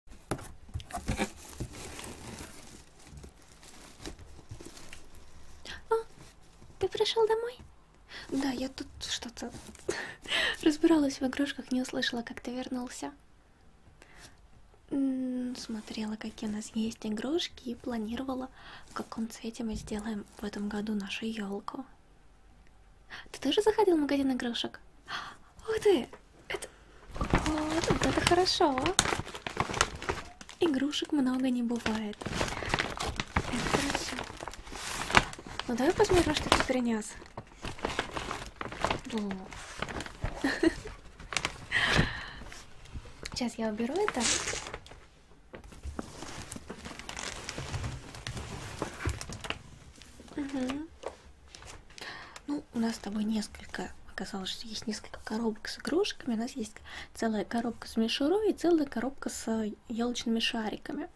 О, а, ты пришел домой? Да, я тут что-то разбиралась в игрушках, не услышала, как ты вернулся. Смотрела, какие у нас есть игрушки и планировала, в каком цвете мы сделаем в этом году нашу елку. Ты тоже заходил в магазин игрушек? Ух ты! Это... Вот, вот это хорошо! А? Игрушек много не бывает. Это хорошо. Ну давай посмотрим, что ты принес. Сейчас я уберу это. Угу. Ну, у нас с тобой несколько, оказалось, что есть несколько коробок с игрушками. У нас есть целая коробка с мишурой и целая коробка с елочными шариками.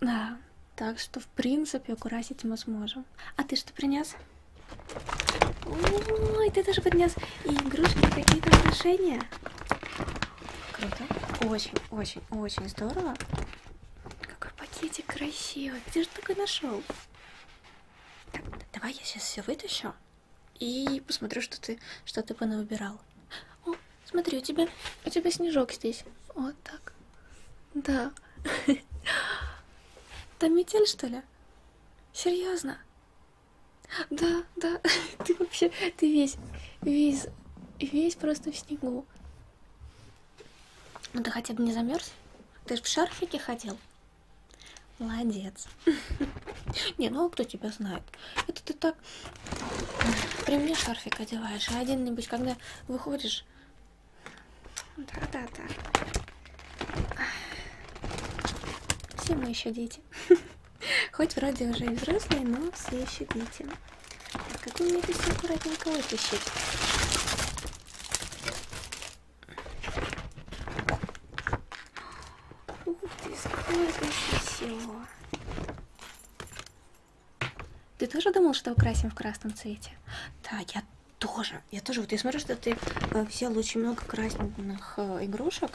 Да, так что, в принципе, украсить мы сможем. А ты что принес? Ой, ты даже поднес и игрушки, какие-то украшения. Круто. Очень, очень, очень здорово. Какой пакетик красивый. Где же такой нашел? Так, давай я сейчас все вытащу и посмотрю, что ты что ты понавыбирал. О, смотри, у тебя у тебя снежок здесь. Вот так. Да. Там метель, что ли? Серьезно? Да, да. Ты вообще, ты весь, весь, весь просто в снегу. Ну ты хотя бы не замерз? Ты же в шарфике ходил? Молодец. Не, ну кто тебя знает? Это ты так при мне шарфик одеваешь, а один-нибудь, когда выходишь... Да-да-да. Все мы еще дети. Хоть вроде уже и взрослые, но все еще дети. Так, как вы мне здесь аккуратненько вытащить? Ух ты, сколько всего. Ты тоже думал, что украсим в красном цвете? Да, я тоже. Я тоже. Вот я смотрю, что ты э, взял очень много красных э, игрушек.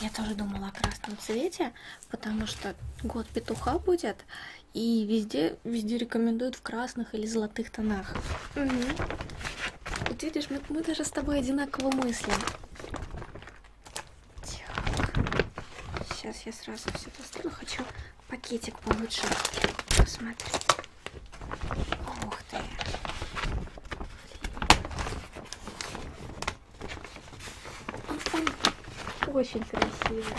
Я тоже думала о красном цвете, потому что год петуха будет, и везде, везде рекомендуют в красных или золотых тонах. Угу. Вот видишь, мы, мы даже с тобой одинаково мыслим. Так. Сейчас я сразу все поставлю. Хочу пакетик получше посмотреть. Ух ты. Очень красиво.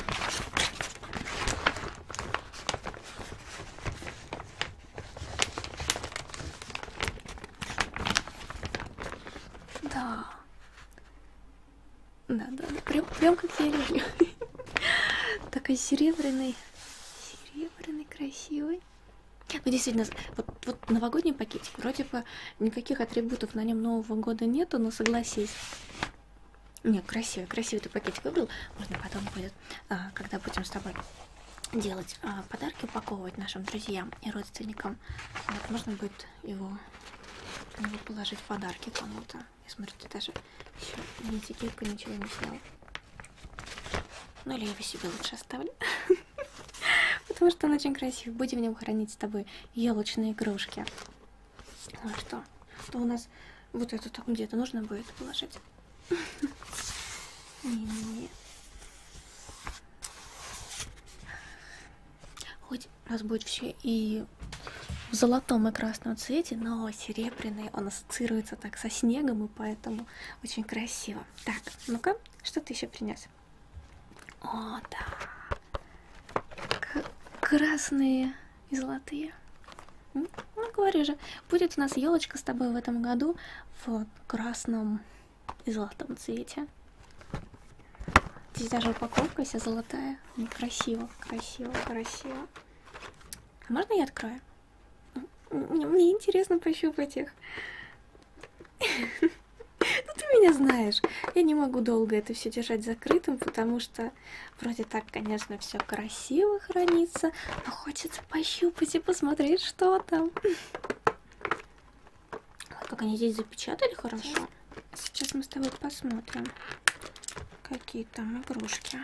Да. Да, да, да. Прям, прям как я люблю. Такой серебряный. Серебряный, красивый. Ну, действительно, вот, вот новогодний пакетик, вроде бы никаких атрибутов на нем Нового года нету, но согласись, не, красивый, красивый ты пакетик выбрал. Можно потом будет, а, когда будем с тобой делать а, подарки, упаковывать нашим друзьям и родственникам. Вот можно будет его, его положить в подарки кому-то. Я смотрю, ты даже еще ни этикетку, ничего не снял. Ну или я его себе лучше оставлю. Потому что он очень красивый. Будем в нем хранить с тобой елочные игрушки. Ну а что, что у нас вот эту там где-то нужно будет положить? Не-не-не. Хоть у нас будет все и в золотом и красном цвете, но серебряный он ассоциируется так со снегом, и поэтому очень красиво. Так, ну-ка, что ты еще принес? О, да. К красные и золотые. Ну, ну, говорю же, будет у нас елочка с тобой в этом году в красном и золотом цвете. Здесь даже упаковка вся золотая. Ну, красиво, красиво, красиво. А можно я открою? Ну, мне, мне интересно пощупать их. Ну ты меня знаешь. Я не могу долго это все держать закрытым, потому что Вроде так, конечно, все красиво хранится, но хочется пощупать и посмотреть, что там. Вот как они здесь запечатали хорошо. Сейчас мы с тобой посмотрим, какие там игрушки.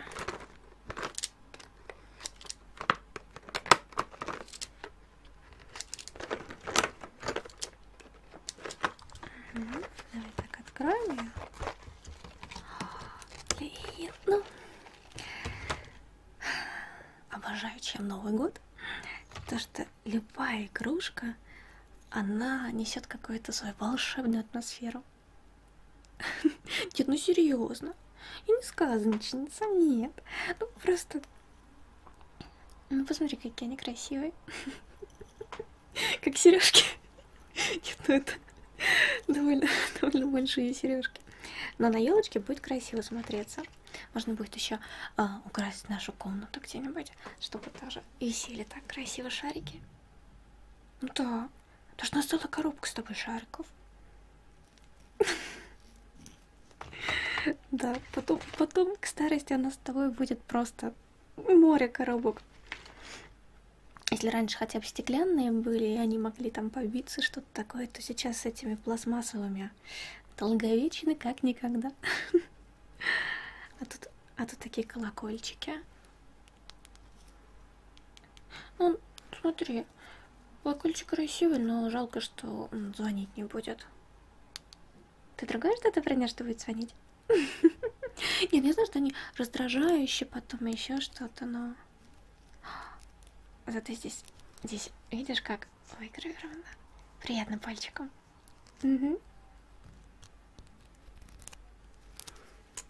Угу. Давай так откроем ее. И, ну, обожаю, чем Новый год. То, что любая игрушка, она несет какую-то свою волшебную атмосферу. Нет, ну серьезно. И не сказочница, нет. Ну просто... Ну посмотри, какие они красивые. Как сережки. Нет, ну это довольно, довольно большие сережки. Но на елочке будет красиво смотреться. Можно будет еще а, украсить нашу комнату где-нибудь, чтобы тоже висели так красиво шарики. Ну да, потому что у нас целая коробка с тобой шариков. Да, потом, потом к старости у нас с тобой будет просто море коробок. Если раньше хотя бы стеклянные были, и они могли там побиться, что-то такое, то сейчас с этими пластмассовыми долговечны как никогда. А тут, а тут такие колокольчики. Ну, смотри, колокольчик красивый, но жалко, что он звонить не будет. Ты другое что-то про нее, что будет звонить? Нет, я знаю, что они раздражающие, потом еще что-то, но... Зато здесь, здесь, видишь, как выгравировано? Приятно пальчиком. Угу.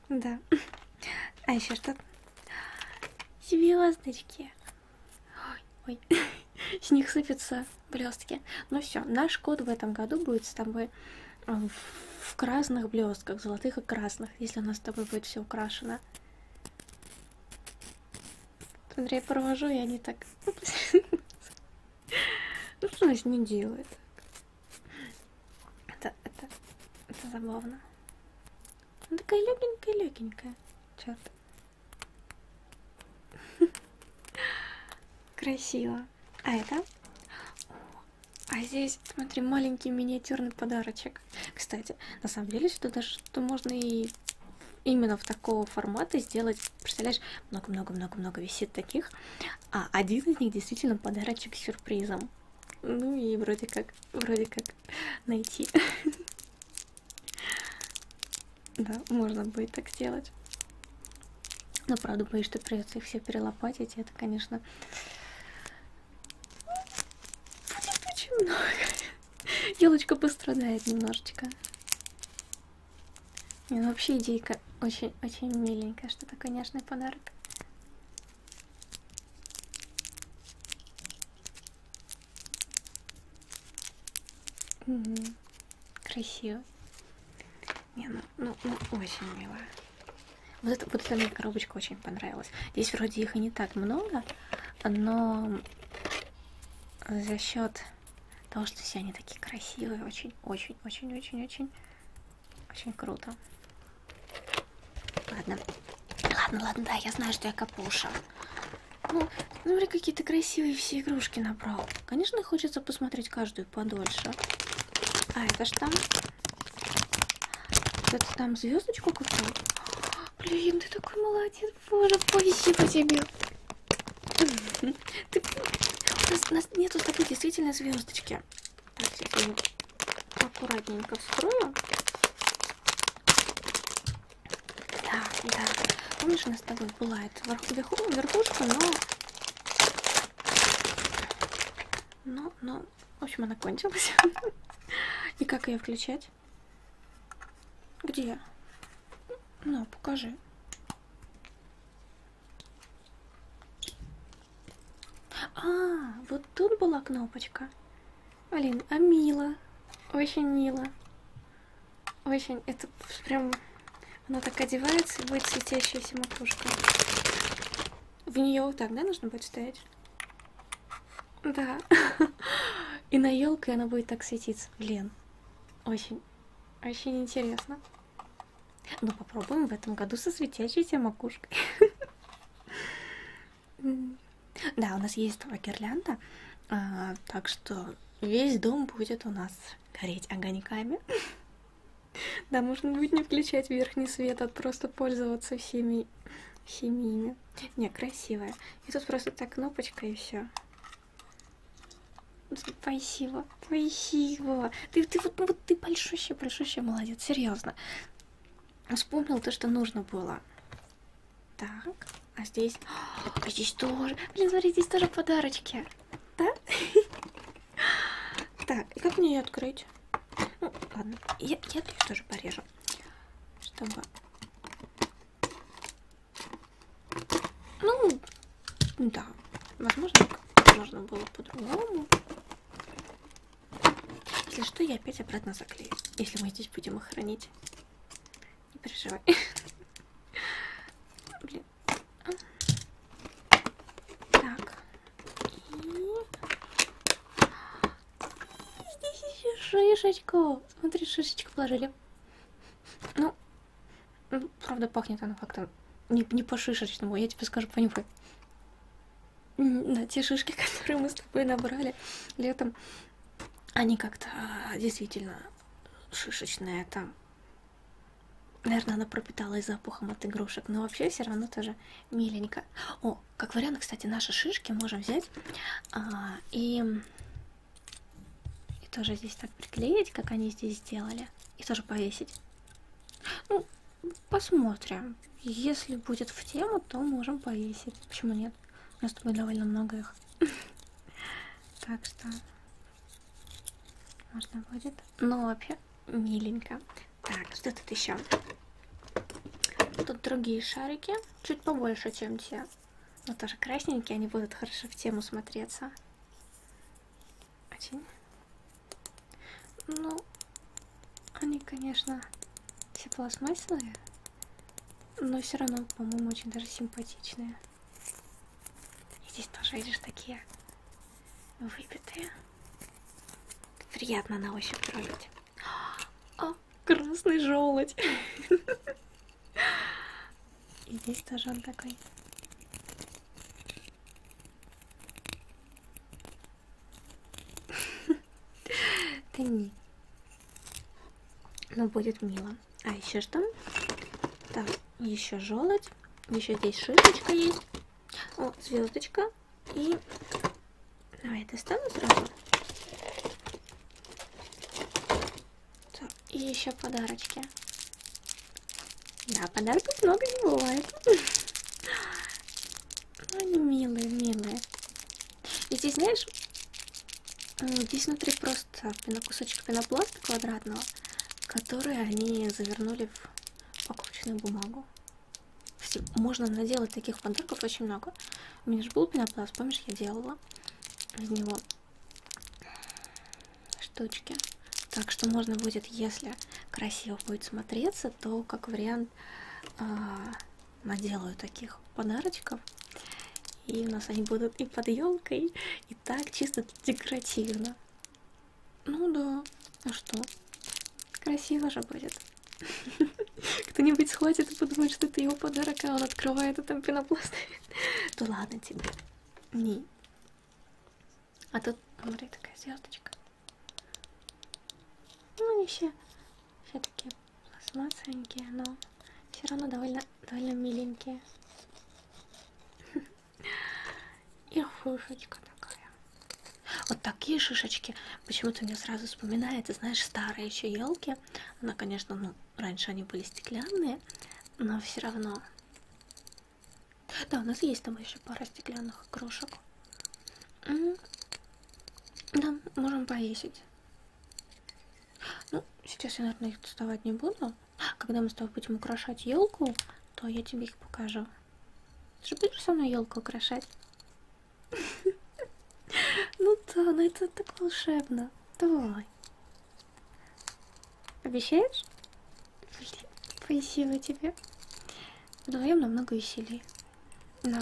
Да. А еще что? Звездочки. Ой, ой. С них сыпятся блестки. Ну все, наш код в этом году будет с тобой а, в красных блестках, золотых и красных, если у нас с тобой будет все украшено. Смотри, я провожу, и они так... Ну, ну что значит не делает? Это, это, это забавно. Она такая легенькая-легенькая. Черт. Красиво. А это? О, а здесь, смотри, маленький миниатюрный подарочек. Кстати, на самом деле, что даже что можно и именно в такого формата сделать. Представляешь, много-много-много-много висит таких. А один из них действительно подарочек с сюрпризом. Ну и вроде как, вроде как найти. Да, можно будет так сделать. Но правда боюсь, что придется их все перелопатить. И это, конечно, будет очень много. Елочка пострадает немножечко. Не, ну вообще идейка очень-очень миленькая, что такой нежный подарок. Угу. Красиво. Не, ну, ну, ну очень мило. Вот эта, вот эта мне коробочка очень понравилась. Здесь вроде их и не так много, но за счет того, что все они такие красивые, очень-очень-очень-очень-очень очень круто. Ладно. Ладно, ладно, да, я знаю, что я капуша. Ну, смотри, какие-то красивые все игрушки набрал. Конечно, хочется посмотреть каждую каждую подольше. А это ж там... Это там звездочку купил? Блин, ты такой молодец. Боже, спасибо тебе. Ты... У, нас, у нас нету с тобой действительно звездочки. Так, сейчас я аккуратненько вскрою. Да, да. Помнишь, у нас с тобой была эта верхушка, но ну, ну, в общем, она кончилась. И как ее включать? Где? Ну, покажи. А, вот тут была кнопочка. Блин, а мило. Очень мило. Очень, это прям она так одевается и будет светящаяся макушка. В нее вот так, да, нужно будет ставить? Да. И на елке она будет так светиться. Блин, очень, очень интересно. Ну, попробуем в этом году со светящейся макушкой. Да, у нас есть гирлянда, а, так что весь дом будет у нас гореть огоньками. Да, можно будет не включать верхний свет, а просто пользоваться всеми химиями. Не, красивая. И тут просто так кнопочка и все. Спасибо, спасибо. Ты, ты вот, ну вот ты большущий, большущий молодец, серьезно. Вспомнил то, что нужно было. Так, а здесь... А здесь тоже... Блин, смотри, здесь тоже подарочки. Да? Так, и как мне ее открыть? Ну, ладно, я, я ее тоже порежу, чтобы... Ну, да, возможно, можно было по-другому. Если что, я опять обратно заклею, если мы здесь будем их хранить. Не переживай. Блин, так. И... Здесь еще шишечку. Смотри, шишечку положили. Ну, правда, пахнет она как-то не, не по-шишечному. Я тебе скажу, понюхай. Да, те шишки, которые мы с тобой набрали летом, они как-то а, действительно шишечные. Там Наверное, она пропиталась запахом от игрушек, но вообще все равно тоже миленько. О, как вариант, кстати, наши шишки можем взять а, и, и тоже здесь так приклеить, как они здесь сделали, и тоже повесить. Ну, посмотрим. Если будет в тему, то можем повесить. Почему нет? У нас с тобой довольно много их. Так что можно будет. Но вообще миленько. Так, что тут еще? Тут другие шарики, чуть побольше, чем те. Но тоже красненькие, они будут хорошо в тему смотреться. Очень. Ну, они, конечно, все пластмассовые, но все равно, по-моему, очень даже симпатичные. И здесь тоже, видишь, такие выбитые. Приятно на ощупь трогать. О, красный желудь. И здесь тоже он такой. Да не. Но будет мило. А еще что? Так, еще желудь. Еще здесь шишечка есть. О, звездочка. И давай я достану сразу. Так, и еще подарочки. Да, подарков много не бывает. Они милые, милые. И здесь, знаешь, здесь внутри просто кусочек пенопласта квадратного, который они завернули в покрученную бумагу. Все, можно наделать таких подарков очень много. У меня же был пенопласт, помнишь, я делала из него штучки. Так что можно будет, если красиво будет смотреться, то как вариант э, наделаю таких подарочков. И у нас они будут и под елкой, и так чисто декоративно. Ну да, а что? Красиво же будет. Кто-нибудь схватит и подумает, что это его подарок, а он открывает и там пенопласт. Да ладно тебе. Не. А тут, смотри, такая звездочка. Ну, они все, все такие пластмассовенькие, но все равно довольно, довольно миленькие. И шишечка такая. Вот такие шишечки почему-то мне сразу вспоминается, знаешь, старые еще елки. Она, конечно, ну, раньше они были стеклянные, но все равно. Да, у нас есть там еще пара стеклянных игрушек. Да, можем повесить. Ну, сейчас я, наверное, их доставать не буду. Когда мы с тобой будем украшать елку, то я тебе их покажу. Ты же будешь со мной елку украшать? Ну да, ну это так волшебно. Давай. Обещаешь? Блин, спасибо тебе. Вдвоем намного веселее. Да.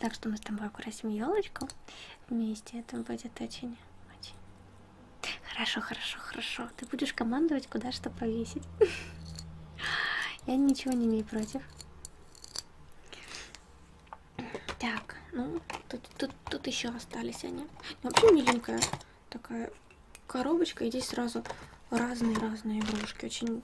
Так что мы с тобой украсим елочку вместе. Это будет очень-очень Хорошо, хорошо, хорошо. Ты будешь командовать, куда что повесить. Я ничего не имею против. Так, ну, тут, тут, тут еще остались они. Вообще миленькая такая коробочка. И здесь сразу разные-разные игрушки. Очень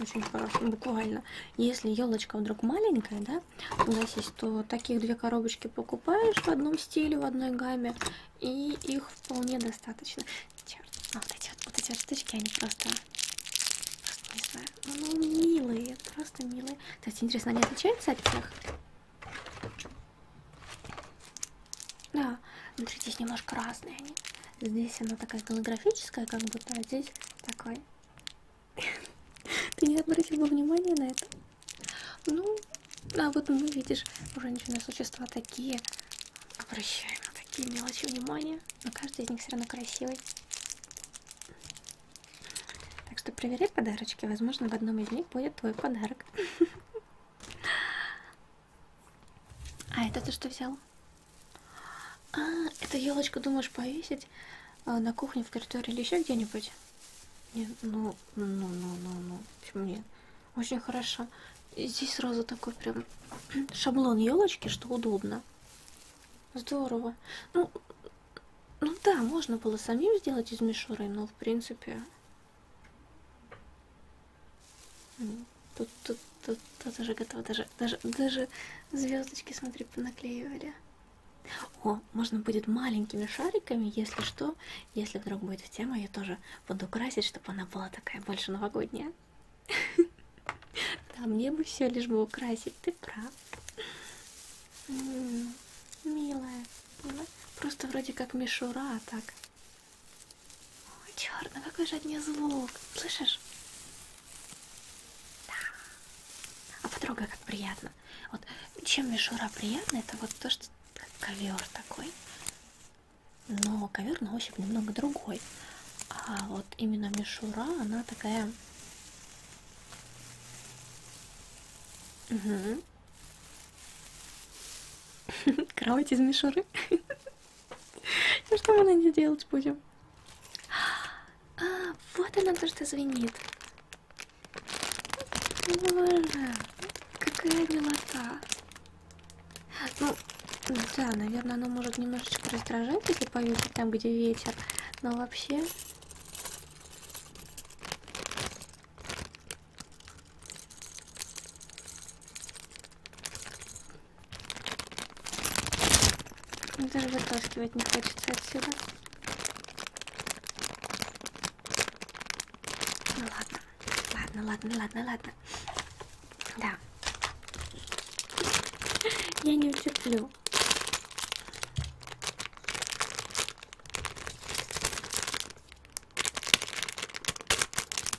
очень хорошо, буквально. Если елочка вдруг маленькая, да, у нас есть, то таких две коробочки покупаешь в одном стиле, в одной гамме, и их вполне достаточно. Черт, а вот эти вот, вот эти вот штучки, они просто, просто не знаю, ну, ну милые, просто милые. Кстати, интересно, они отличаются от тех? Да, внутри здесь немножко разные они. Здесь она такая голографическая, как будто, а здесь такая. Ты не обратила внимания на это? Ну, а вот мы, видишь, женщины существа такие. Обращаем на такие мелочи внимания. Но каждый из них все равно красивый. Так что проверяй подарочки. Возможно, в одном из них будет твой подарок. А это ты что взял? А, эту елочку думаешь повесить э, на кухне, в коридоре или еще где-нибудь? Нет, ну, ну, ну, ну, ну, ну, почему нет? Очень хорошо. И здесь сразу такой прям шаблон елочки, что удобно. Здорово. Ну, ну да, можно было самим сделать из мишуры, но в принципе... Тут, тут, тут, тут уже готово. Даже, даже, даже звездочки, смотри, понаклеивали. О, можно будет маленькими шариками, если что, если вдруг будет в тему, я тоже буду красить, чтобы она была такая больше новогодняя. Да, мне бы все лишь бы украсить, ты прав. Милая, просто вроде как мишура, а так. О, черт, ну какой же от нее звук, слышишь? Да. А потрогай, как приятно. Вот чем мишура приятна, это вот то, что ковер такой но ковер на ощупь немного другой. А вот именно мишура, она такая... Угу. Кровать из мишуры. Ну что мы на ней делать будем? А, вот она то, что звенит. Боже, Какая милота. Ну, да, наверное, оно может немножечко раздражать, если повесить там, где ветер. Но вообще... Даже вытаскивать не хочется отсюда. Ну ладно. Ладно, ладно, ладно, ладно. Да. Я не утерплю.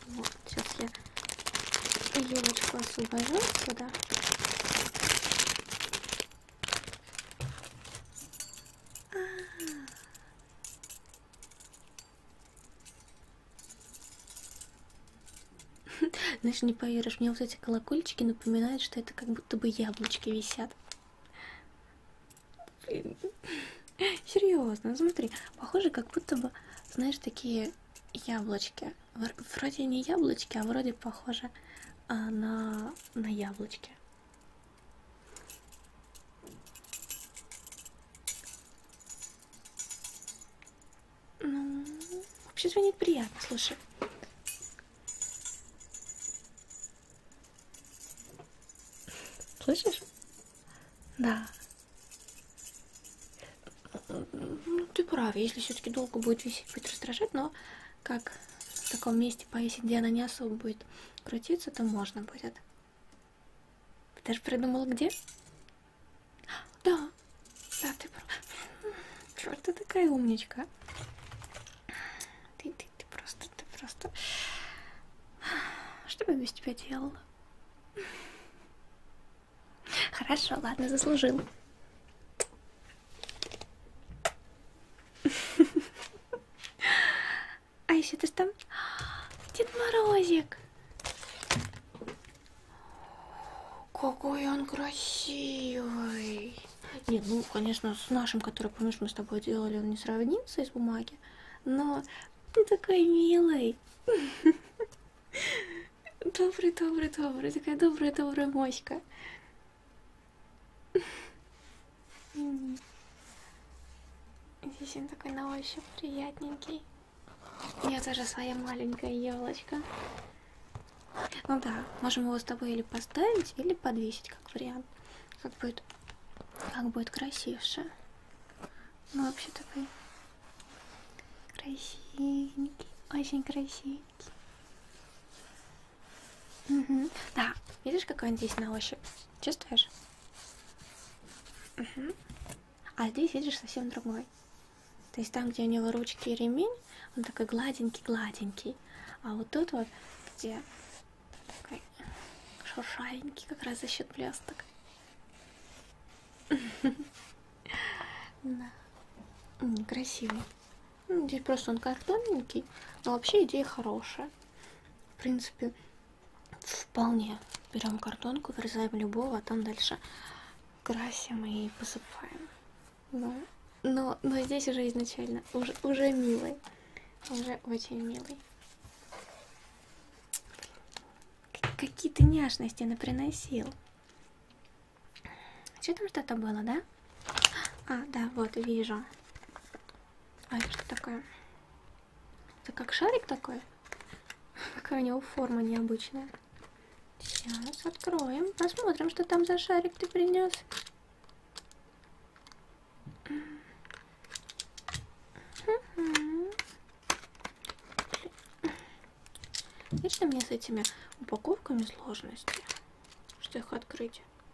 Вот, сейчас я елочку освобожу сюда. А -а -а. Знаешь, не поверишь, мне вот эти колокольчики напоминают, что это как будто бы яблочки висят. Блин. Серьезно, ну смотри, похоже, как будто бы, знаешь, такие яблочки. Вроде не яблочки, а вроде похоже а, на, на яблочки. Ну, вообще звонит приятно, слушай. Слышишь? Да. Ну, ты прав, если все-таки долго будет висеть, будет раздражать, но как в таком месте повесить, где она не особо будет крутиться, то можно будет. Ты же придумала где? Да, да, ты Черт, ты такая умничка. Ты, ты, ты просто, ты просто... Что бы я без тебя делала? Хорошо, ладно, заслужил. А еще ты там? Дед Морозик. Какой он красивый. Нет, ну, конечно, с нашим, который, помнишь, мы с тобой делали, он не сравнится из бумаги. Но ты такой милый. Добрый, добрый, добрый. Такая добрая, добрая моська мини. Здесь он такой на ощупь приятненький. У меня тоже своя маленькая елочка. Ну да, можем его с тобой или поставить, или подвесить, как вариант. Как будет, как будет красивше. Ну, вообще такой красивенький, очень красивенький. Угу. Да, видишь, какой он здесь на ощупь? Чувствуешь? Угу. А здесь видишь совсем другой. То есть там, где у него ручки и ремень, он такой гладенький-гладенький. А вот тут вот, где такой шуршавенький, как раз за счет блесток. Да. Красивый. Ну, здесь просто он картонненький, но вообще идея хорошая. В принципе, Вполне. Берем картонку, вырезаем любого, а там дальше красим и посыпаем. Но, ну, но, но здесь уже изначально, уже, уже милый. Уже очень милый. Какие ты няшности наприносил. Что там что-то было, да? А, да, вот, вижу. А это что такое? Это как шарик такой? Какая у него форма необычная. Сейчас откроем, посмотрим, что там за шарик ты принес. Вечно мне с этими упаковками сложности, что их открыть.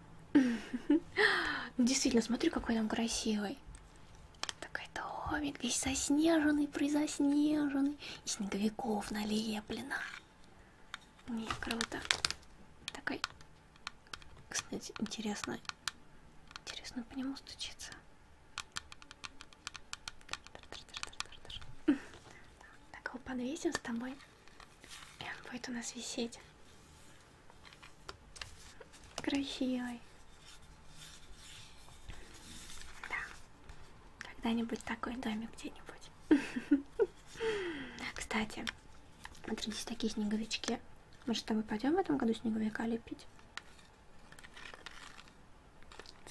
Ну, действительно, смотри, какой он красивый. Такой домик, весь заснеженный, призаснеженный. И снеговиков налеплено. Не круто. Такой, кстати, интересно. Интересно по нему стучиться. Так его подвесим с тобой. И эм, он будет у нас висеть красивый. Да. Когда-нибудь такой домик где-нибудь. Кстати, смотрите, такие снеговички. Мы же с тобой пойдем в этом году снеговика лепить.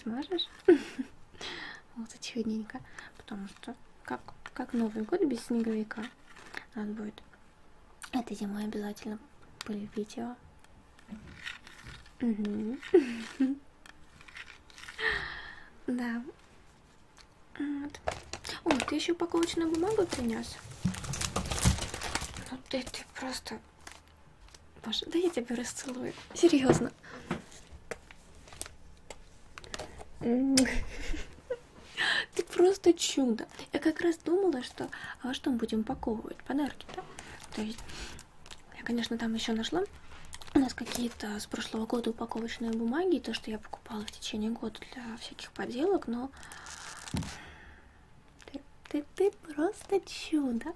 Сможешь? Вот это чудненько. Потому просто. Как, как Новый год без снеговика. Надо будет. Это зимой обязательно были видео. Угу. Да. Вот. О, ты еще упаковочную бумагу принес. Ну ты, ты просто. Боже, да я тебя расцелую. Серьезно. Ты просто чудо. Я как раз думала, что а во что мы будем упаковывать подарки-то. То есть, я, конечно, там еще нашла у нас какие-то с прошлого года упаковочные бумаги, то, что я покупала в течение года для всяких поделок, но ты, ты, ты просто чудо.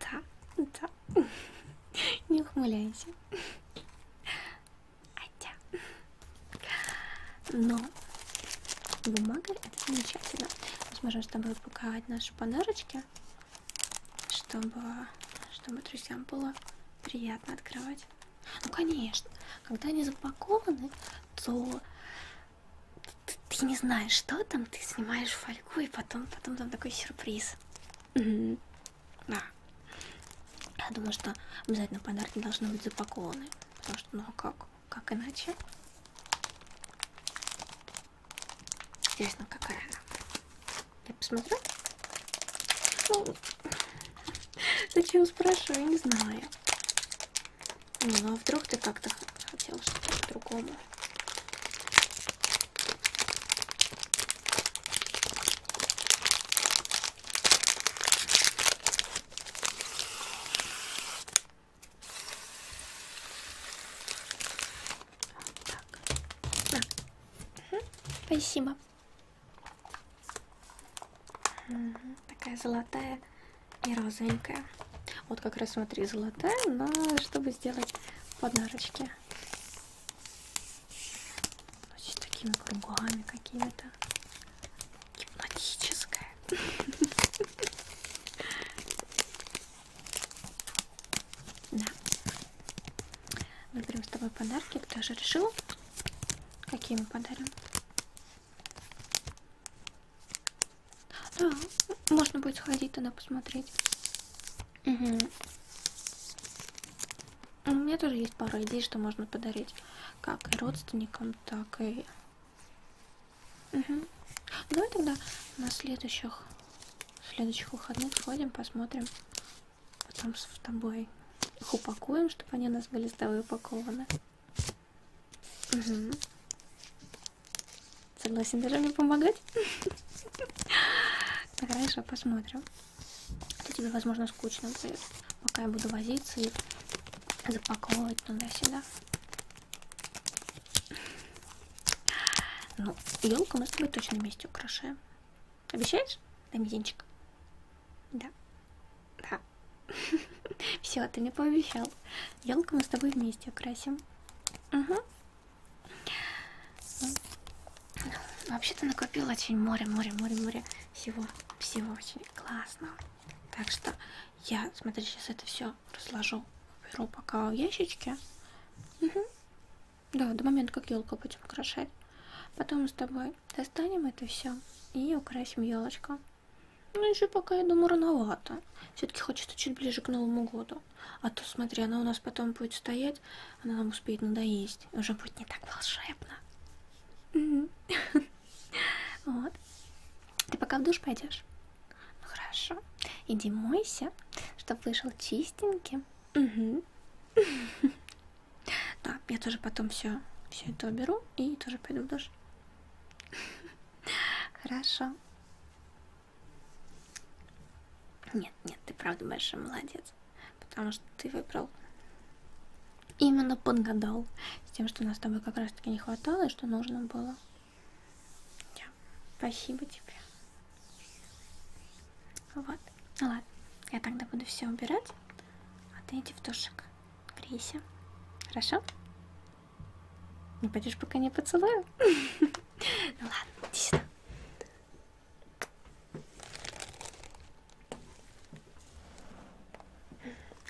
Да, да. Не ухмыляйся. Хотя, но бумага это замечательно. Мы сможем с тобой упаковать наши подарочки, чтобы, чтобы друзьям было приятно открывать. Ну конечно, когда они запакованы, то ты, ты не знаешь, что там, ты снимаешь фольгу и потом, потом там такой сюрприз. Да. Я думаю, что обязательно подарки должны быть запакованы. Потому что, ну а как? Как иначе? Интересно, какая она. Я посмотрю. Ну, зачем спрашиваю, я не знаю. Ну, ну а вдруг ты как-то хотел что-то по-другому. Так. Угу. Спасибо. Угу. Такая золотая и розовенькая. Вот как раз смотри, золотая, но чтобы сделать подарочки. Значит, такими кругами какими-то. Гипнотическая. Да. Выберем ну, с тобой подарки. Кто же решил? Какие мы подарим? Да, можно будет сходить туда посмотреть. Угу. У меня тоже есть пара идей, что можно подарить как и родственникам, так и... Угу. Давай тогда на следующих, следующих выходных сходим, посмотрим. Потом с тобой их упакуем, чтобы они у нас были с тобой упакованы. Угу. Согласен даже мне помогать? Хорошо, посмотрим то тебе, возможно, скучно будет, пока я буду возиться и запаковывать туда-сюда. Ну, елку мы с тобой точно вместе украшаем. Обещаешь? Да, мизинчик. Да. Да. Все, ты мне пообещал. Елку мы с тобой вместе украсим. Угу. Вообще-то накопила очень море, море, море, море всего, всего очень классно. Так что я, смотри, сейчас это все разложу, беру пока в ящичке. Угу. Да, до момента, как елку будем украшать. Потом с тобой достанем это все и украсим елочку. Ну еще пока, я думаю, рановато. Все-таки хочется чуть ближе к Новому году. А то, смотри, она у нас потом будет стоять сделать, она нам успеет надоесть. Уже будет не так волшебно. Вот. Ты пока в душ пойдешь? Ну хорошо. Иди мойся, чтобы вышел чистеньким. Да, я тоже потом все все это уберу и тоже пойду в душ. Хорошо. Нет, нет, ты правда большой молодец потому что ты выбрал именно подгадал с тем, что нас с тобой как раз таки не хватало и что нужно было. Да. Спасибо тебе. Вот. Ну ладно. Я тогда буду все убирать. А ты иди в душик. Грейся. Хорошо? Не ну, пойдешь, пока не поцелую. Ну ладно, иди сюда.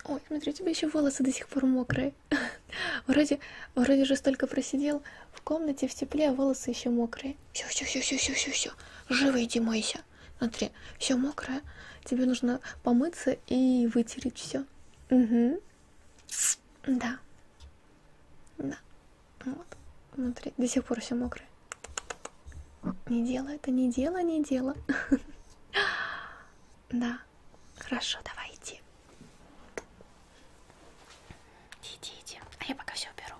Ой, смотри, у тебя еще волосы до сих пор мокрые. Вроде, вроде же столько просидел в комнате в тепле, а волосы еще мокрые. Все, все, все, все, все, все, все. Живо иди мойся. Смотри, все мокрое. Тебе нужно помыться и вытереть все. Угу. Да. Да. Вот, внутри до сих пор все мокрое. Не дело, это не дело, не дело. Да, хорошо, давай иди. Иди, иди, а я пока все уберу.